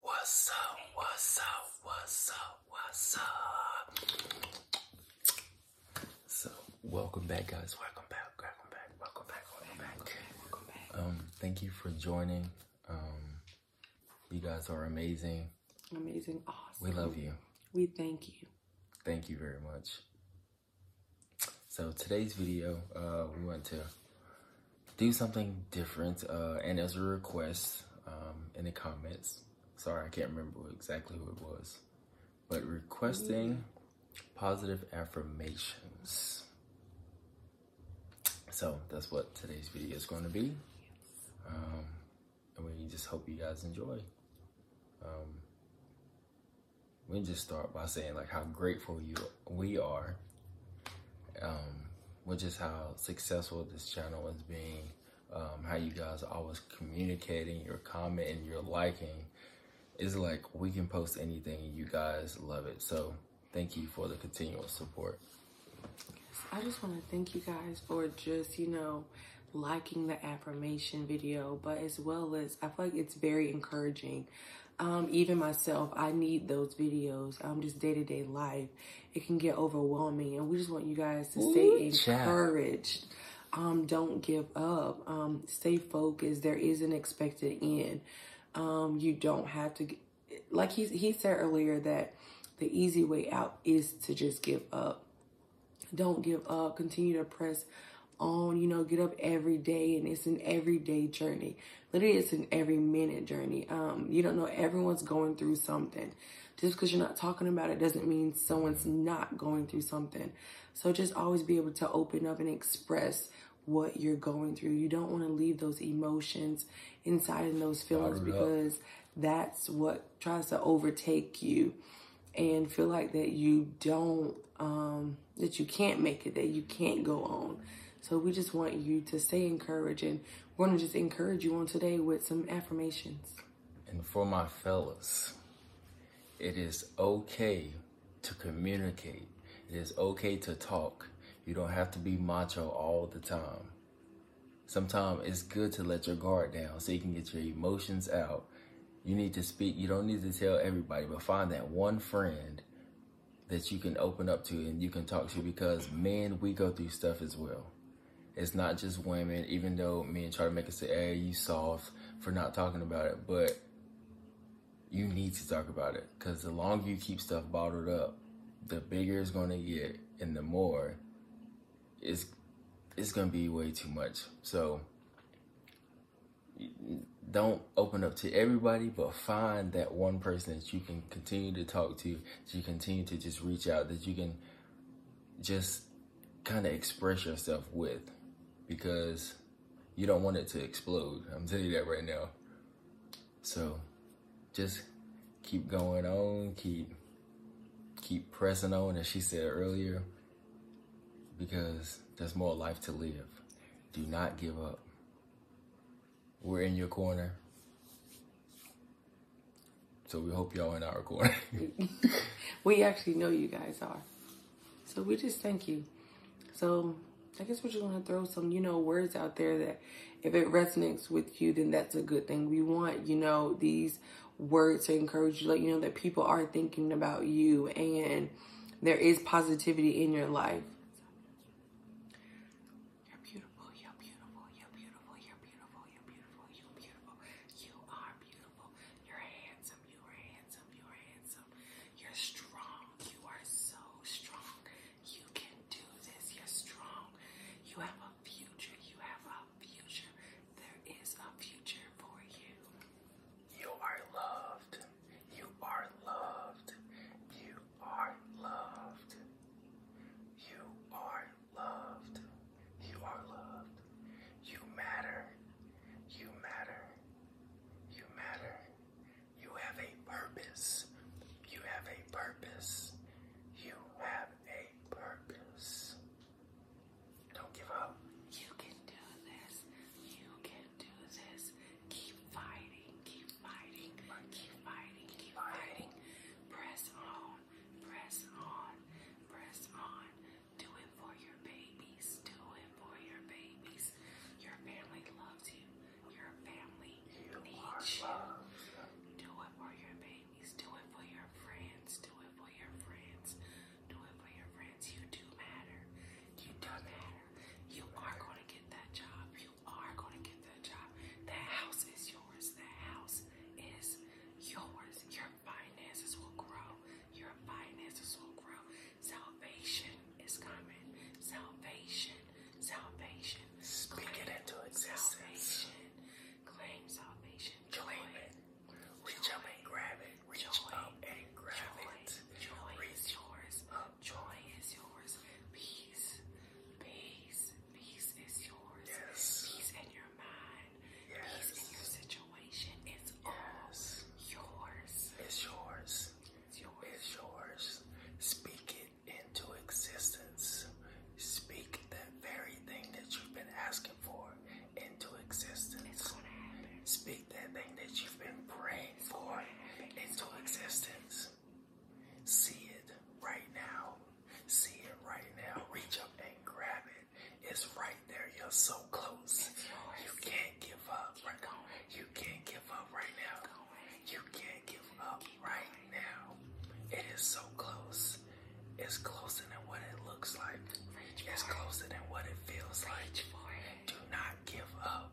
What's up? What's up? What's up? What's up? So, welcome back, guys. Welcome back. Welcome back. Welcome back. Welcome back. Welcome back. Um, thank you for joining. Um, you guys are amazing. Amazing. Awesome. We love you. We thank you. Thank you very much. So today's video, uh, we went to do something different. Uh, and as a request um, in the comments, sorry, I can't remember exactly who it was, but requesting positive affirmations. So that's what today's video is going to be. Um, and we just hope you guys enjoy. Um, we just start by saying like how grateful you we are um, which is how successful this channel is being, um, how you guys always communicating, your comment and your liking. is like we can post anything you guys love it. So thank you for the continual support. I just want to thank you guys for just, you know, liking the affirmation video, but as well as I feel like it's very encouraging. Um, even myself, I need those videos. I'm um, just day to day life it can get overwhelming. And we just want you guys to stay encouraged. Um, don't give up. Um, stay focused. There is an expected end. Um, you don't have to, like he, he said earlier, that the easy way out is to just give up. Don't give up. Continue to press on. You know, get up every day, and it's an everyday journey. Literally, it's an every minute journey. Um, you don't know everyone's going through something. Just because you're not talking about it doesn't mean someone's not going through something. So just always be able to open up and express what you're going through. You don't want to leave those emotions inside and those feelings because that's what tries to overtake you and feel like that you don't um, that you can't make it, that you can't go on. So we just want you to stay encouraged and we're gonna just encourage you on today with some affirmations. And for my fellas, it is okay to communicate. It is okay to talk. You don't have to be macho all the time. Sometimes it's good to let your guard down so you can get your emotions out. You need to speak. You don't need to tell everybody, but find that one friend that you can open up to and you can talk to because men, we go through stuff as well. It's not just women, even though men try to make us say, hey, you soft for not talking about it, but you need to talk about it because the longer you keep stuff bottled up, the bigger it's going to get and the more it's, it's going to be way too much. So don't open up to everybody, but find that one person that you can continue to talk to, you continue to just reach out, that you can just kind of express yourself with because you don't want it to explode. I'm telling you that right now. So just keep going on, keep keep pressing on as she said earlier because there's more life to live. Do not give up we're in your corner. So we hope y'all in our corner. we actually know you guys are. So we just thank you. So I guess we're just gonna throw some, you know, words out there that if it resonates with you, then that's a good thing. We want, you know, these words to encourage you, let you know that people are thinking about you and there is positivity in your life. You're beautiful, you're beautiful, you're beautiful, you're beautiful, you're beautiful, you're beautiful, you are beautiful, you're handsome, you are handsome, you are handsome, you're strong, you are so strong, you can do this, you're strong, you have a future, you have a future, there is a future for you. You are loved, you are loved, you are loved. You are loved. You are loved. You matter. You matter. You matter. You have a purpose. You have a purpose. You have a purpose. Don't give up. You can do this. You can do this. Keep fighting. Keep Keep fighting. Keep fighting. Keep fighting. Press on. Press on. Press on. Do it for your babies. Do it for your babies. Your family loves you. Your family you needs you. Do it for your babies. Do it for your friends. Do it for your friends. Do it for your friends. You do matter. You do matter. You are going to get that job you are going to get that job. That house is yours. That house is yours. Your finances will grow. Your finances will grow. Salvation is coming. Salvation. Salvation. Speak claim it into existence. Salvation. Claim salvation. Claim it. Reach up and grab it. Reach joy. up and grab joy. it. Joy. Reach. is yours. Up Joy is yours. Peace. Peace. Peace is yours. Yes. Peace in your mind. Yes. Peace in your situation. It's yes. yours. It's yours. It's yours. It's yours. Speak it into existence. Speak that very thing that you've been asking for into existence. Speak that thing that you've been praying for into existence. See it right now. See it right now. Reach up and grab it. It's right there. You're so close. You can't give up. Right now. You can't give up right now. You can't give up right now. It is so close. It's closer than what it looks like. It's closer than what it feels like. Do not give up.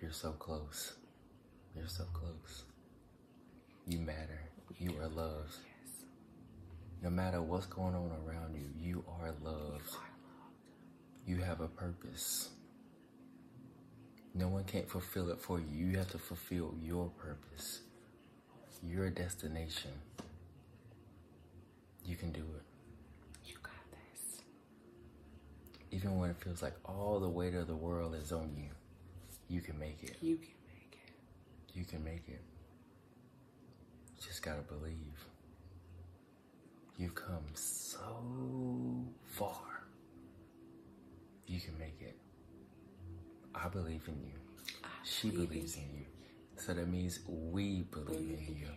You're so close. You're so close. You matter. You are loved. No matter what's going on around you, you are loved. You, are loved. you have a purpose. No one can't fulfill it for you. You have to fulfill your purpose, your destination. You can do it. You got this. Even when it feels like all the weight of the world is on you, you can make it. You can make it. You can make it. just gotta believe. You've come so far. You can make it. I believe in you. she believes in you. So that means we believe, in you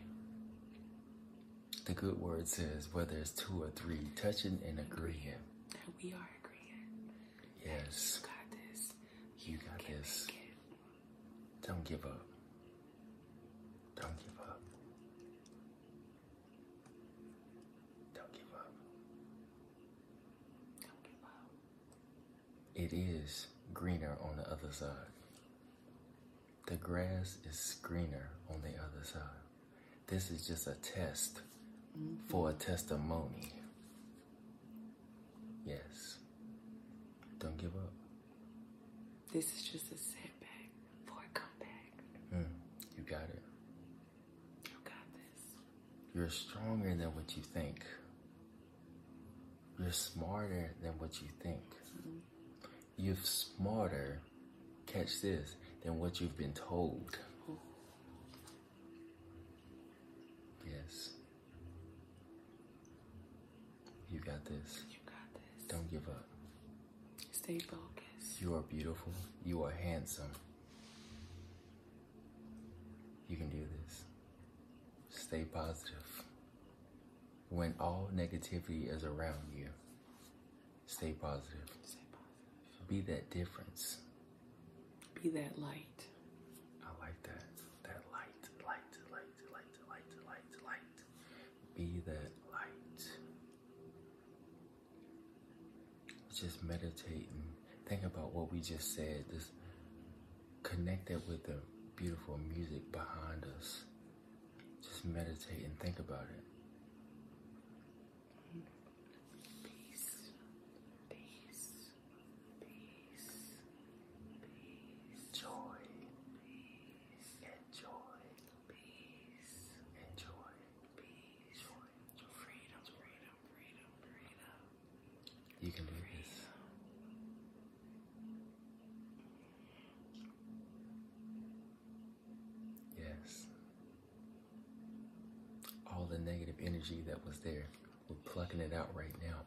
the good word says, whether it's two or three, touching and agreeing. we are agreeing. Yes. you got this. you got this. Don't give up. Don't give up. Don't give up. Don't give up. It is greener on the other side. The grass is greener on the other side. This is just a test for a testimony. Yes. Don't give up. This is just a setback for a comeback. Hmm. you got it. You got this. You're stronger than what you think. You're smarter than what you think. Mm-hmm you're smarter, catch this, than what you've been told. Yes. You got this. You got this. Don't give up. Stay focused. You are beautiful. You are handsome. You can do this. Stay positive. When all negativity is around you, Stay positive. Be that difference. Be that light. I like that. That light, light, light, light, light, light, light. Be that light. Just meditate and think about what we just said. Just connect it with the beautiful music behind us. Just meditate and think about it. Peace. Peace. Peace. Peace. Joy. Peace. Enjoy. Peace. Enjoy. Peace. Joy. Freedom. Freedom. Freedom. Freedom. You can do this. Yes. All the negative energy that was there, we're plucking it out right now.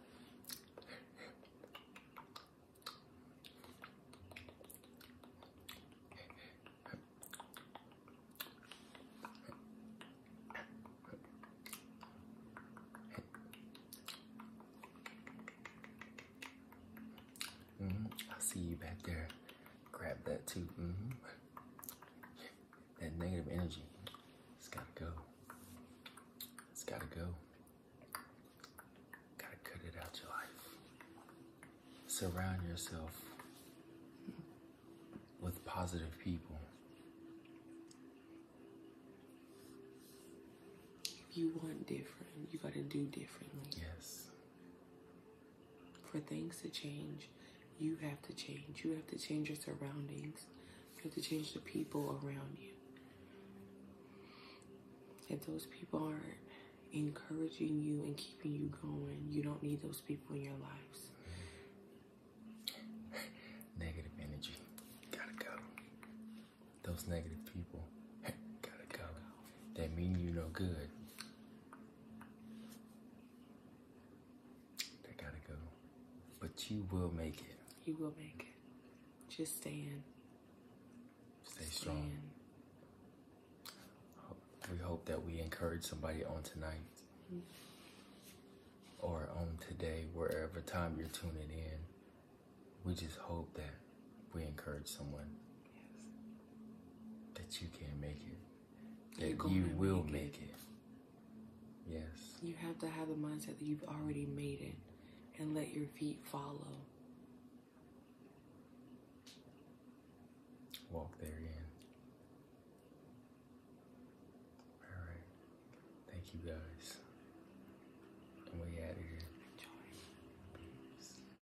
Mm-hmm. I'll see you back there Grab that too. Mm-hmm. That negative energy, it's gotta go. It's gotta go. Gotta cut it out your life. Surround yourself with positive people. If you want different, you gotta do differently. Yes. For things to change, you have to change. You have to change your surroundings. You have to change the people around you. If those people aren't encouraging you and keeping you going, you don't need those people in your lives. Negative energy. Gotta go. Those negative people. gotta go. That mean you no good. They gotta go. But you will make it. You will make it. Just stand. Stay strong. We hope that we encourage somebody on tonight mm-hmm. or on today, wherever time you're tuning in. We just hope that we encourage someone that you can make it, that you will make, it. Yes. You have to have the mindset that you've already made it and let your feet follow. Walk therein. All right. Thank you guys. we out of here.